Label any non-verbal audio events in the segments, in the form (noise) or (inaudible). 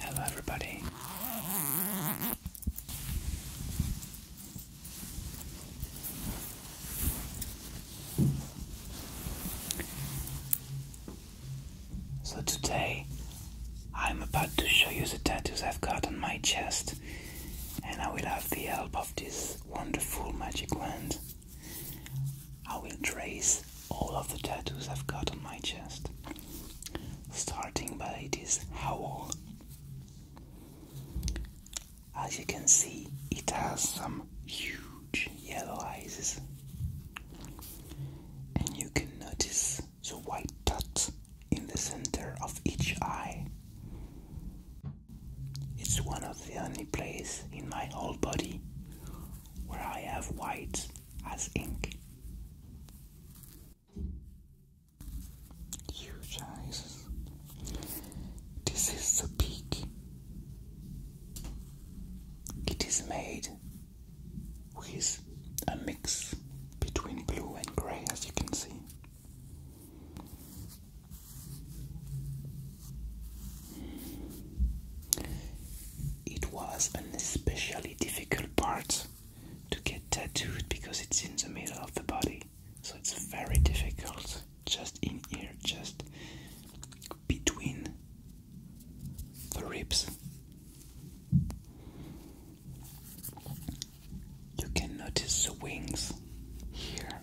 Hello, everybody. So, today I'm about to show you the tattoos I've got on my chest and I will have the help of this wonderful magic wand. I will trace all of the tattoos I've got on my chest, starting by this howl. As you can see, it has some huge yellow eyes, and you can notice the white dot in the center of each eye. It's one of the only places in my whole body where I have white as ink. Huge eyes. This is the peak. It is made with a mix between blue and grey, as you can see. It was an especially difficult part to get tattooed because it's in the middle of the body, so it's very difficult just in here, just between the ribs. You can notice the wings here.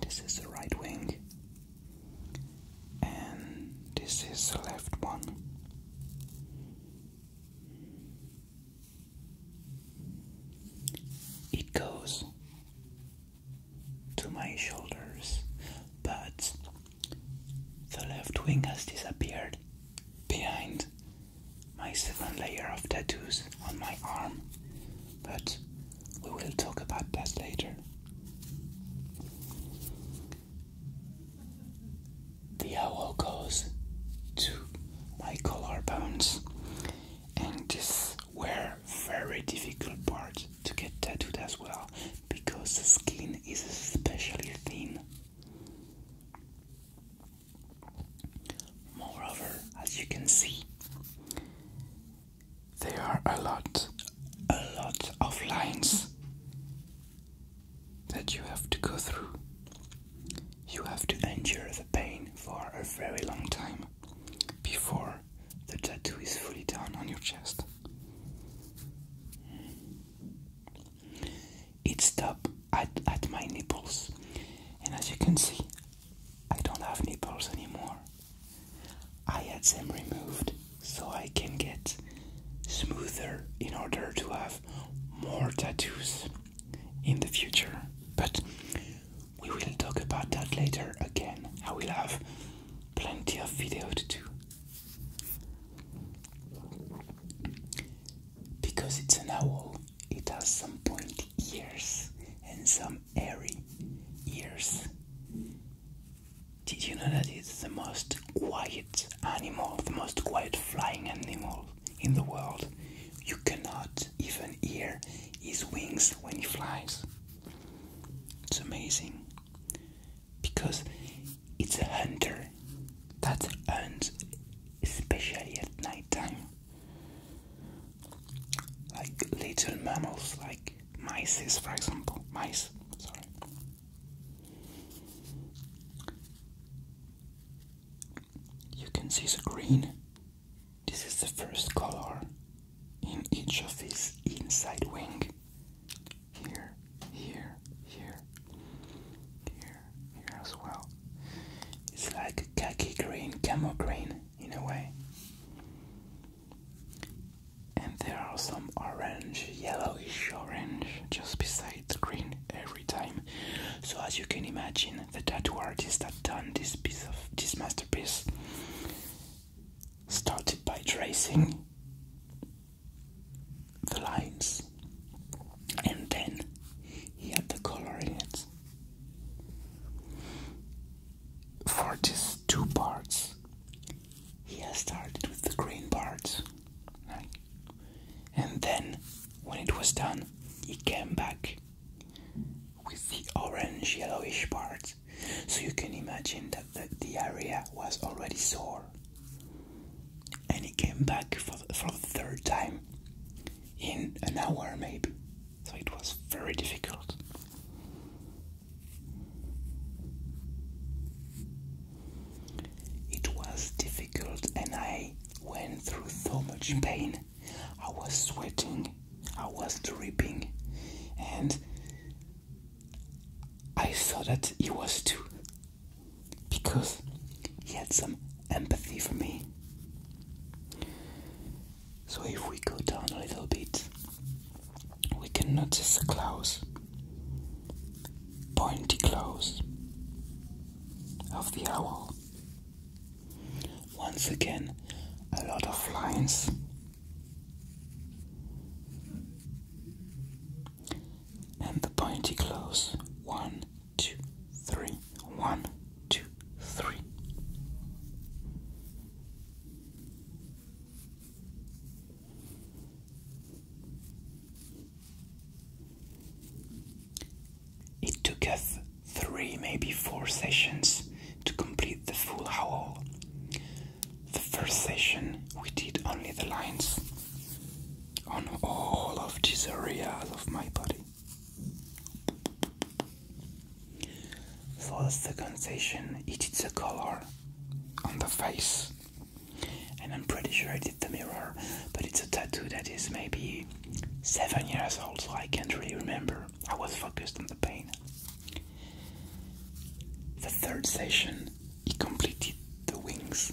This is the right wing, and this is the left one. It goes to my shoulders, but the left wing has disappeared behind my second layer of tattoos on my arm, but we will talk about that later. The owl goes to my collar bones, and this were very difficult part to get tattooed as well because the skin is especially thin. Moreover, as you can see, there are a lot, a lot of lines that you have to go through. You have to endure the pain for a very long time before the tattoo is fully down on your chest. It stopped at, at my nipples, and as you can see, I don't have nipples anymore. I had them removed so I can get smoother in order to have more tattoos in the future. But we will talk about that later again. I will have plenty of video to do because it's an owl it has some pointy ears and some airy ears did you know that it's the most quiet animal the most quiet flying animal in the world you cannot even hear his wings when he flies it's amazing because it's a hunter that hunts especially at night time. Like little mammals like mice for example. Mice, sorry. You can see the green this is the first color in each of his inside wing. Here, here, here, here, here as well. It's like a khaki green, camo green in a way. And there are some orange, yellowish orange just beside the green every time. So as you can imagine, the tattoo artist that done this piece of this masterpiece started by tracing the lines and then he had the color in it. For these two parts, he has started with the green parts, and then when it was done, he came back with the orange yellowish part. So you can imagine that the, area was already sore. And it came back for the third time in an hour, maybe. So it was very difficult. It was difficult, and I went through so much pain. I was sweating I was reaping, and I saw that he was too, because he had some empathy for me. So if we go down a little bit, we can notice the claws, pointy claws of the owl. Once again, a lot of lines. And the pointy close. One, two, three. One, two, three. It took us three, maybe four sessions to complete the full howl. The first session we did only the lines on all of these areas of my body. For the second session, it is the color on the face, and I'm pretty sure I did the mirror, but it's a tattoo that is maybe seven years old, so I can't really remember. I was focused on the pain. The third session, he completed the wings.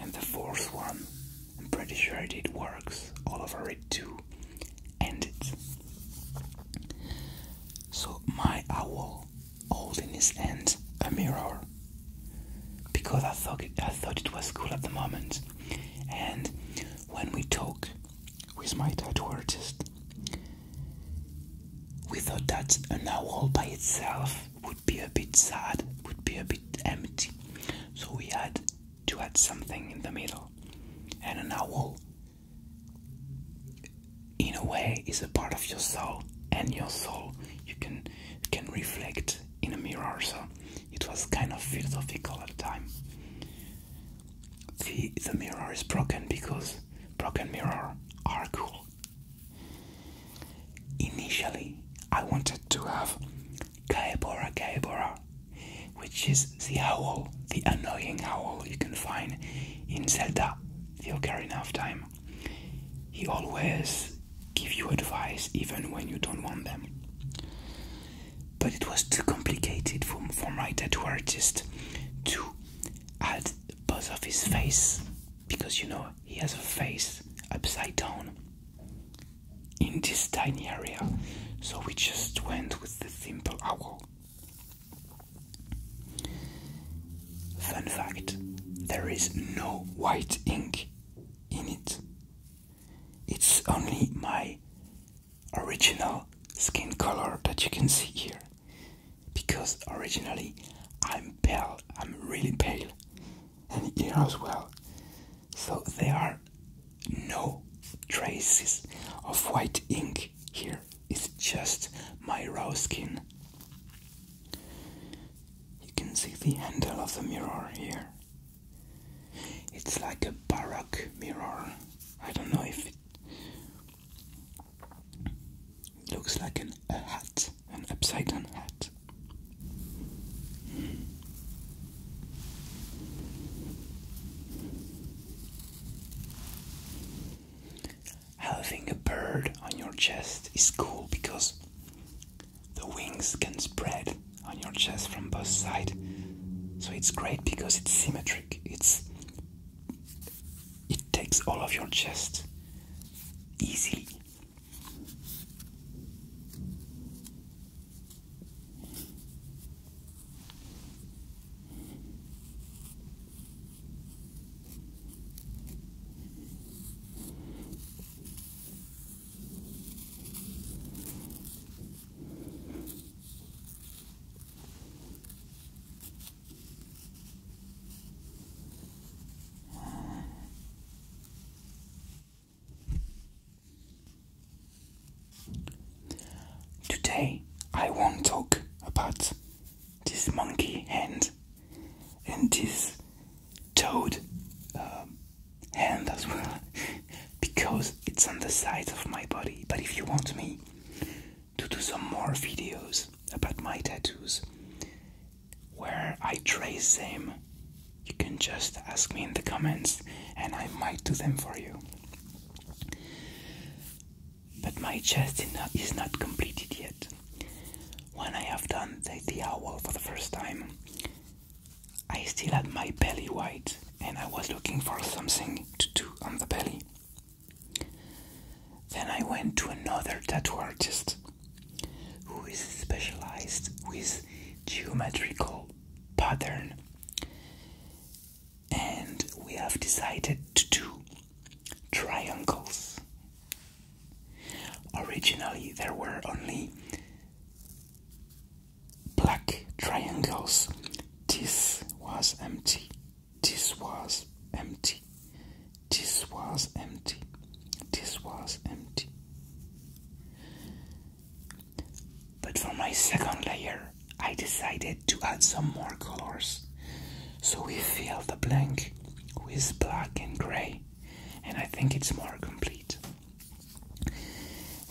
And the fourth one, I'm pretty sure it did works all over it too. And So my owl holding his hand a mirror because I thought it, I thought it was cool at the moment. And when we talk who is my tattoo artist. We thought that an owl by itself would be a bit sad, would be a bit empty, so we had to add something in the middle. And an owl, in a way, is a part of your soul, and your soul you can can reflect in a mirror. So it was kind of philosophical at the time the the mirror is broken because broken mirror are cool. Initially, I wanted to have Kaebora Kaebora, which is the owl, the annoying owl you can find in Zelda, the Ocarina of Time. He always give you advice even when you don't want them but it was too complicated for, my tattoo artist to add both of his face because you know he has a face upside down in this tiny area so we just went with the simple owl fun fact there is no white ink in it it's only my original skin color that you can see here because originally I'm pale, I'm really pale, and here as well. So there are no traces of white ink here, it's just my raw skin. You can see the handle of the mirror here. It's like a baroque mirror. I don't know if it looks like an, a hat, an upside down hat. Having a bird on your chest is cool because the wings can spread on your chest from both sides. So it's great because it's symmetric. It's it takes all of your chest easily. Today I won't talk about this monkey hand and this toad um, hand as well (laughs) because it's on the side of my body. But if you want me to do some more videos about my tattoos where I trace them, you can just ask me in the comments and I might do them for you. But my chest is not completed yet. When I have done the, the owl for the first time, I still had my belly white and I was looking for something to do on the belly. Then I went to another tattoo artist who is specialized with geometrical pattern and we have decided to do triangles. Originally there were only black triangles. This was empty. This was empty. This was empty. This was empty. But for my second layer, I decided to add some more colors. So we fill the blank with black and grey, and I think it's more complete.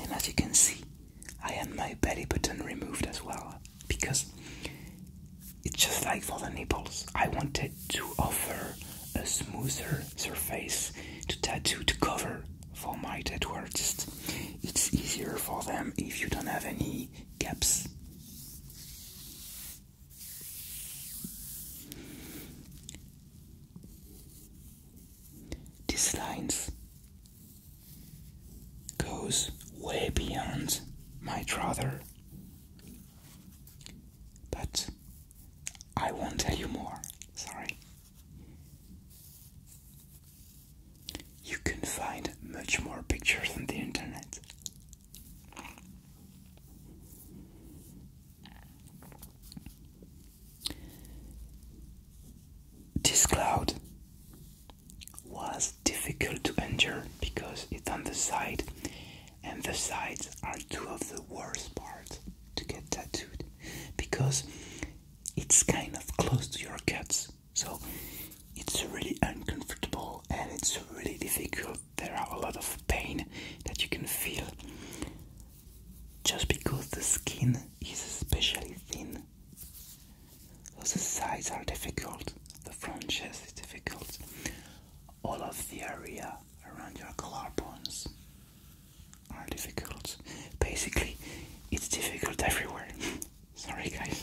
And as you can see, I had my belly button removed as well because it's just like for the nipples. I wanted to offer a smoother surface to tattoo to cover for my tattoos. It's easier for them if you don't have any gaps. This lines goes way beyond my brother. But I won't tell you more, sorry. You can find much more pictures on the internet. This cloud was difficult to endure because it's on the side, and the sides are two of the worst parts to get tattooed because it's kind of close to your guts, so it's really uncomfortable and it's really difficult. There are a lot of pain that you can feel just because the skin is especially thin. So the sides are difficult, the fringes is difficult, all of the area around your collar bones are difficult. Basically, it's difficult everywhere. (laughs) Sorry, guys.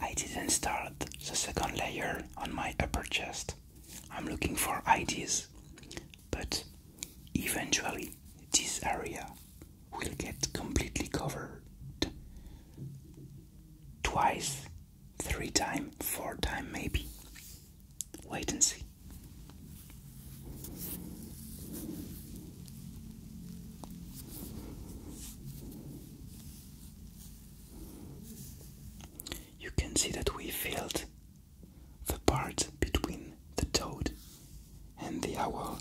I didn't start the second layer on my upper chest. I'm looking for ideas, but eventually this area will get completely covered. Twice, three times, four times maybe. Wait and see. You can see that we filled the part between the toad and the owl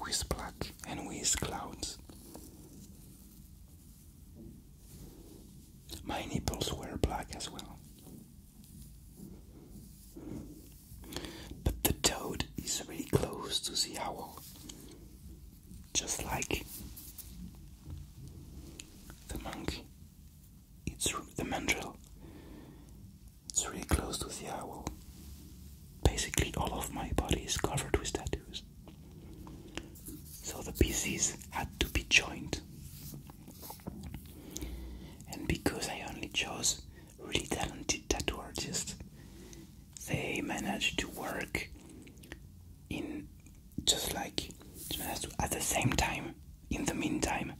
with black and with clouds. My nipples were black as well. But the toad is really close to the owl, just like the monkey. It's the mandrill. It's really close to the owl. Basically, all of my body is covered with tattoos. So the pieces had to be joined. And because I only chose really talented tattoo artists. They managed to work in just like at the same time in the meantime,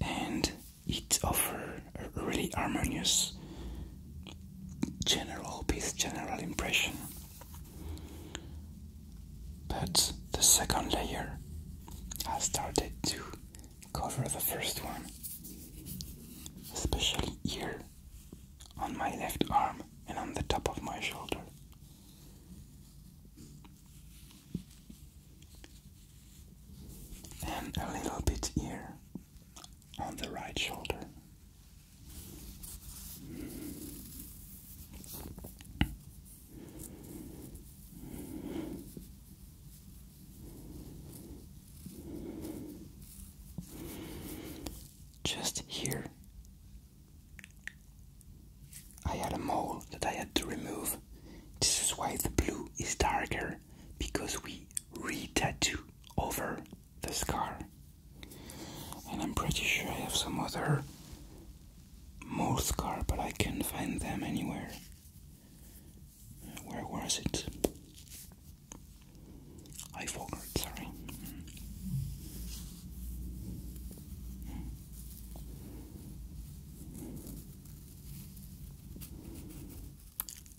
and it offers a really harmonious general piece, general impression. But the second layer has started to cover the first one, especially here on my left arm and on the top of my shoulder. And a little bit here on the right shoulder. Just here, I had a mole that I had to remove. This is why the blue is darker because we re tattoo over the scar. And I'm pretty sure I have some other mole scar, but I can't find them anywhere. Where was it? I forgot, sorry.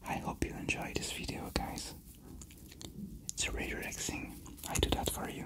I hope you enjoy this video, guys. It's really relaxing. I do that for you.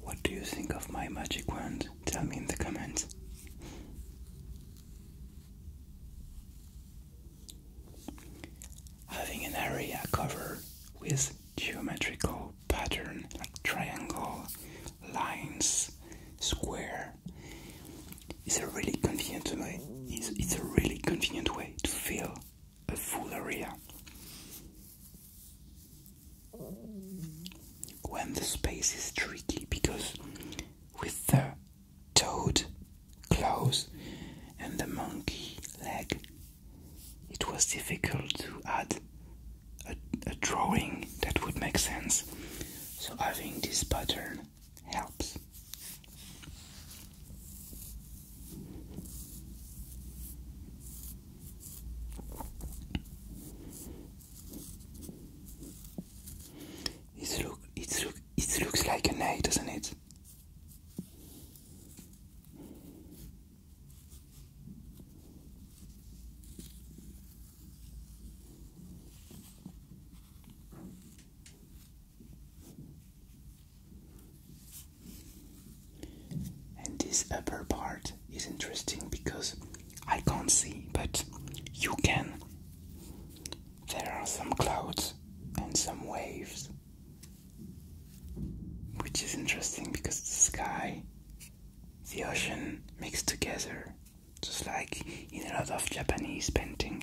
What do you think of my magic wand? Tell me in the comments. Having an area covered with geometrical pattern like triangle, lines, square is a really convenient way. It's, it's a really convenient way to fill a full area. When the space is tricky because with the toad, clothes, and the monkey leg. It was difficult to add a, drawing that would make sense, so having this pattern helps. It's, look, it's it looks like an A, doesn't it? And this upper part is interesting because I can't see, but you can. There are some clouds and some waves, which is interesting because the sky, the ocean mixed together, just like in a lot of Japanese painting.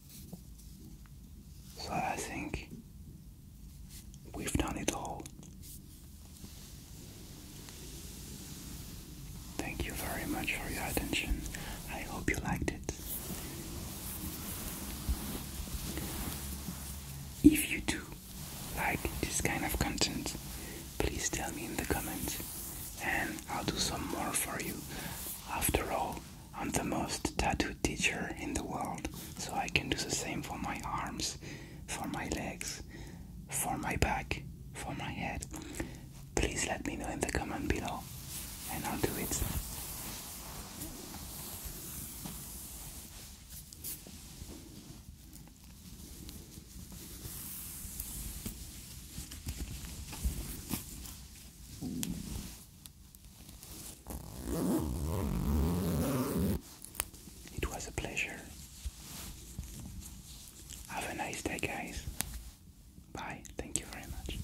so I think we've done it all. Thank you very much for your attention. I hope you liked it. If you do like this kind of content, please tell me in the comments and I'll do some more for you. After all, I'm the most tattooed teacher in the world, so I can do the same for my arms, for my legs, for my back, for my head. Please let me know in the comment below, and I'll do it. It was a pleasure. Have a nice day, guys. Bye. Thank you very much.